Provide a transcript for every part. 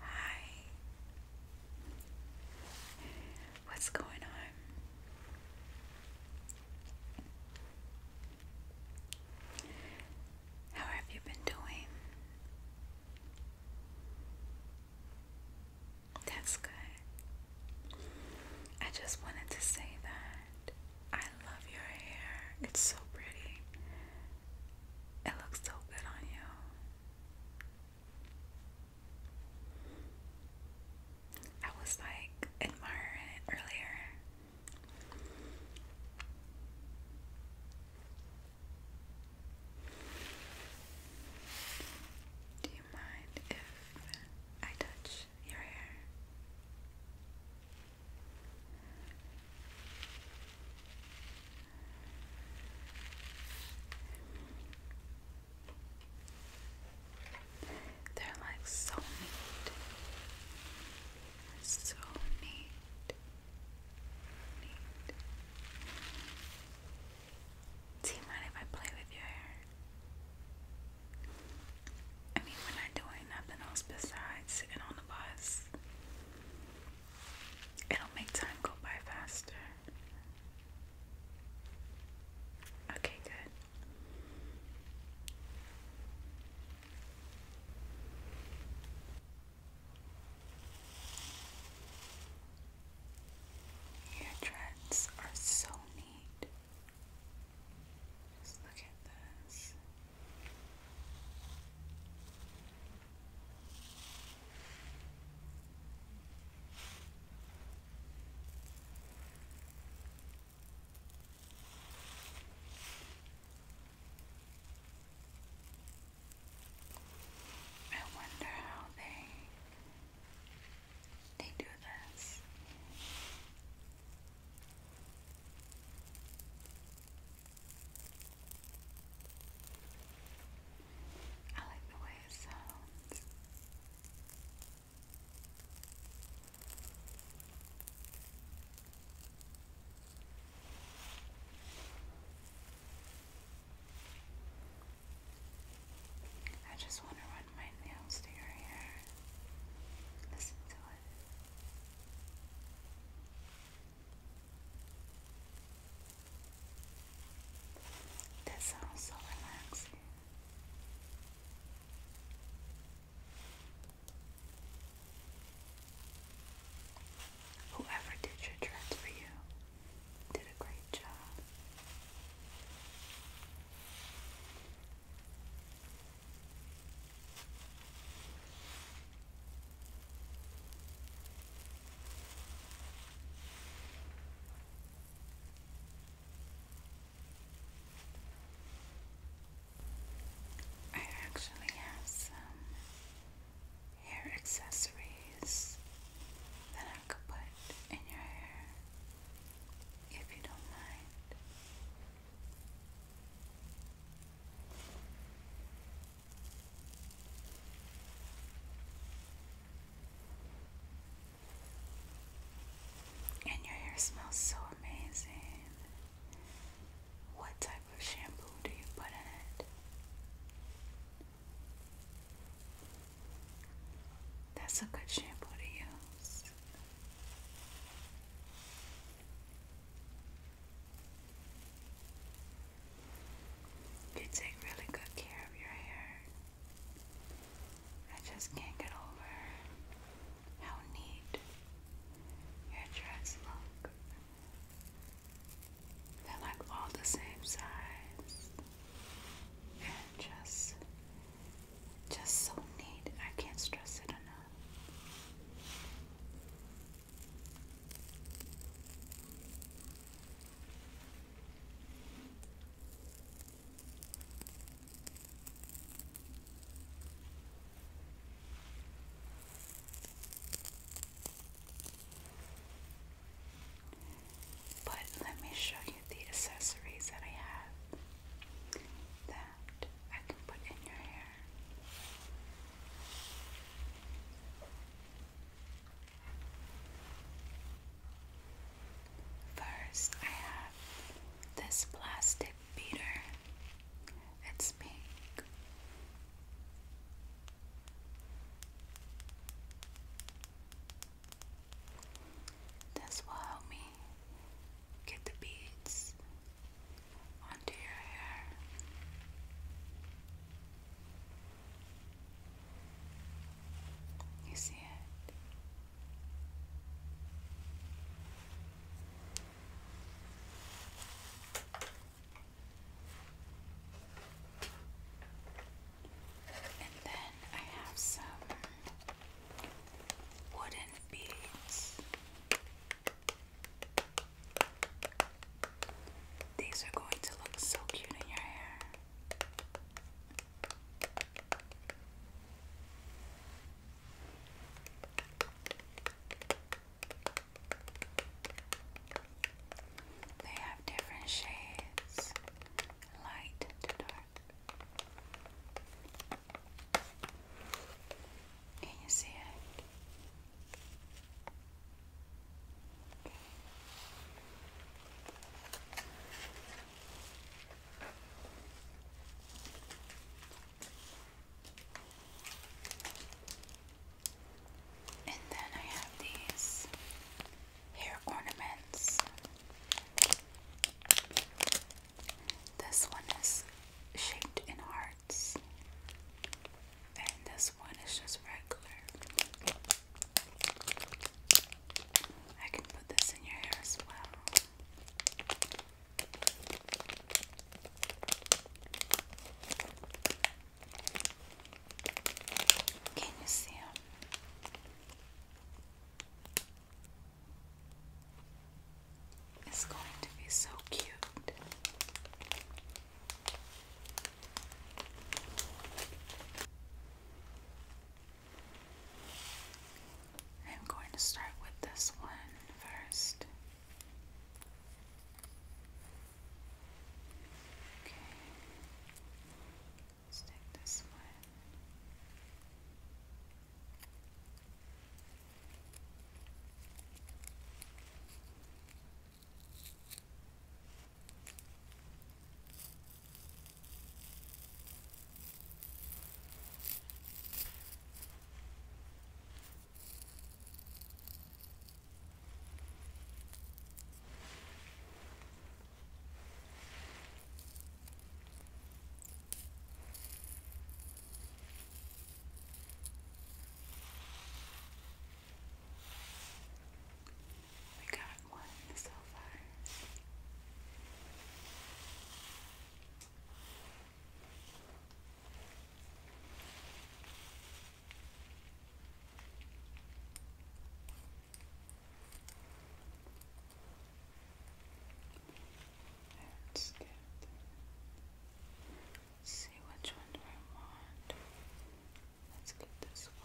Hi. What's going on? How have you been doing? That's good. I just wanted to say that I love your hair. It's so pretty. It looks so good on you. I was like admiring earlier. Do you mind if I touch your hair? They're like so neat. So neat. Neat. Do you if I play with your hair? I mean, we're not doing nothing else besides sitting on the bus. It'll make time go by faster. Okay, good. Hair treads are so neat. Just look at this. I wonder how they they do this. I like the way it sounds. I just want to run my nails through your hair. Listen to it. That sounds so relaxing. Whoever did your dreads for you did a great job. I actually have some hair accessories that I could put in your hair if you don't mind. And your hair smells so amazing. What type of shampoo do you put in it? That's a good shampoo to use. You take really good care of your hair. I just can't get over how neat your dreads look. They're like all the same size and just just so neat. I can't stress it enough. But let me show you the accessories that I have that I can put in your hair. First, I have this plastic beater. It's pink this will help me get the beads onto your hair. You see it? And then I have some wooden beads. These are going to look so cute in your hair. They have different shades, light to dark. Can you see it? And then I have these hair ornaments. This one is shaped in hearts, and this one is just regular. I can put this in your hair as well. Can you see him? It's going to be so cute. I'm going to start with this one first. Okay. let this one. We got one so far. All Let's see which one do I want. Let's get this one.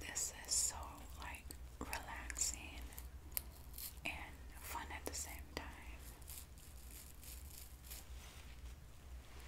This is so like relaxing and fun at the same time.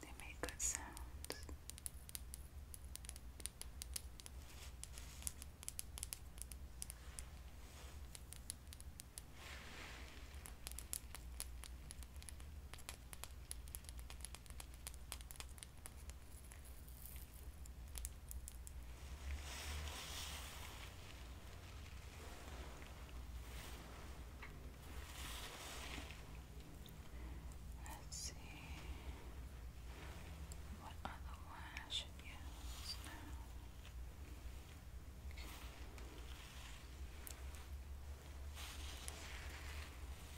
They make good sounds. Let's see what other one I should use now.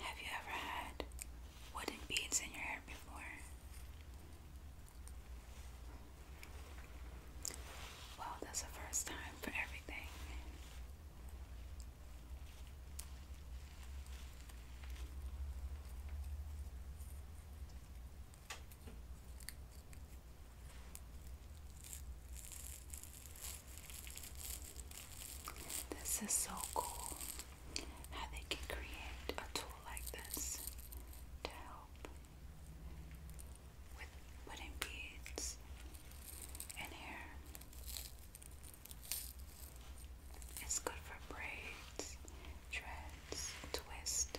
Have you ever had wooden beads in your hair before? Well, that's the first time for everything. This is so cool how they can create a tool like this to help with putting beads in hair. It's good for braids, dreads, twist.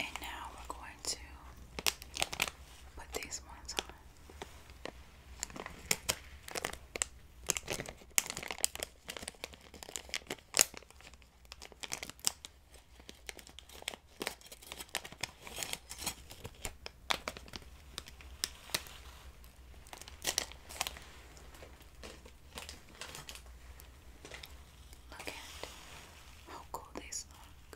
And now we're going to put these ones on. Look at how cool these look.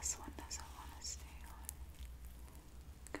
This one doesn't want to stay on. Good.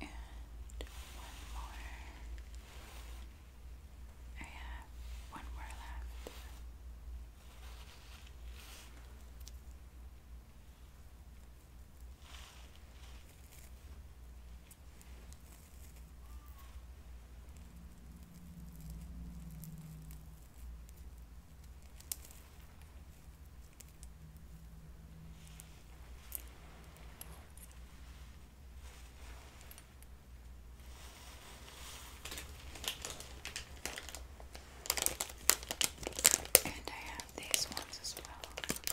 And one more. I have one more left. And I have these ones as well.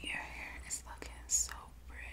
Your hair is looking so pretty.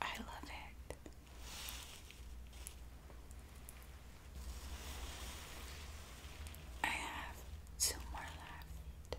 I love it. I have two more left.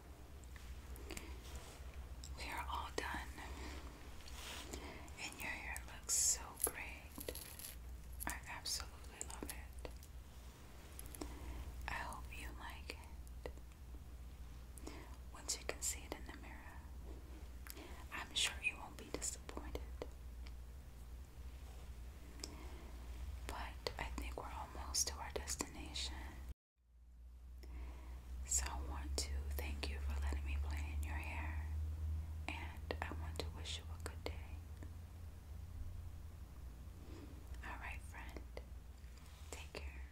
We are all done, and your hair looks so great. I absolutely love it. I hope you like it. Once you can see it in the mirror, I'm sure you won't be disappointed. But I think we're almost to our destination. So, I want to thank you for letting me play in your hair, and I want to wish you a good day. Alright, friend, take care.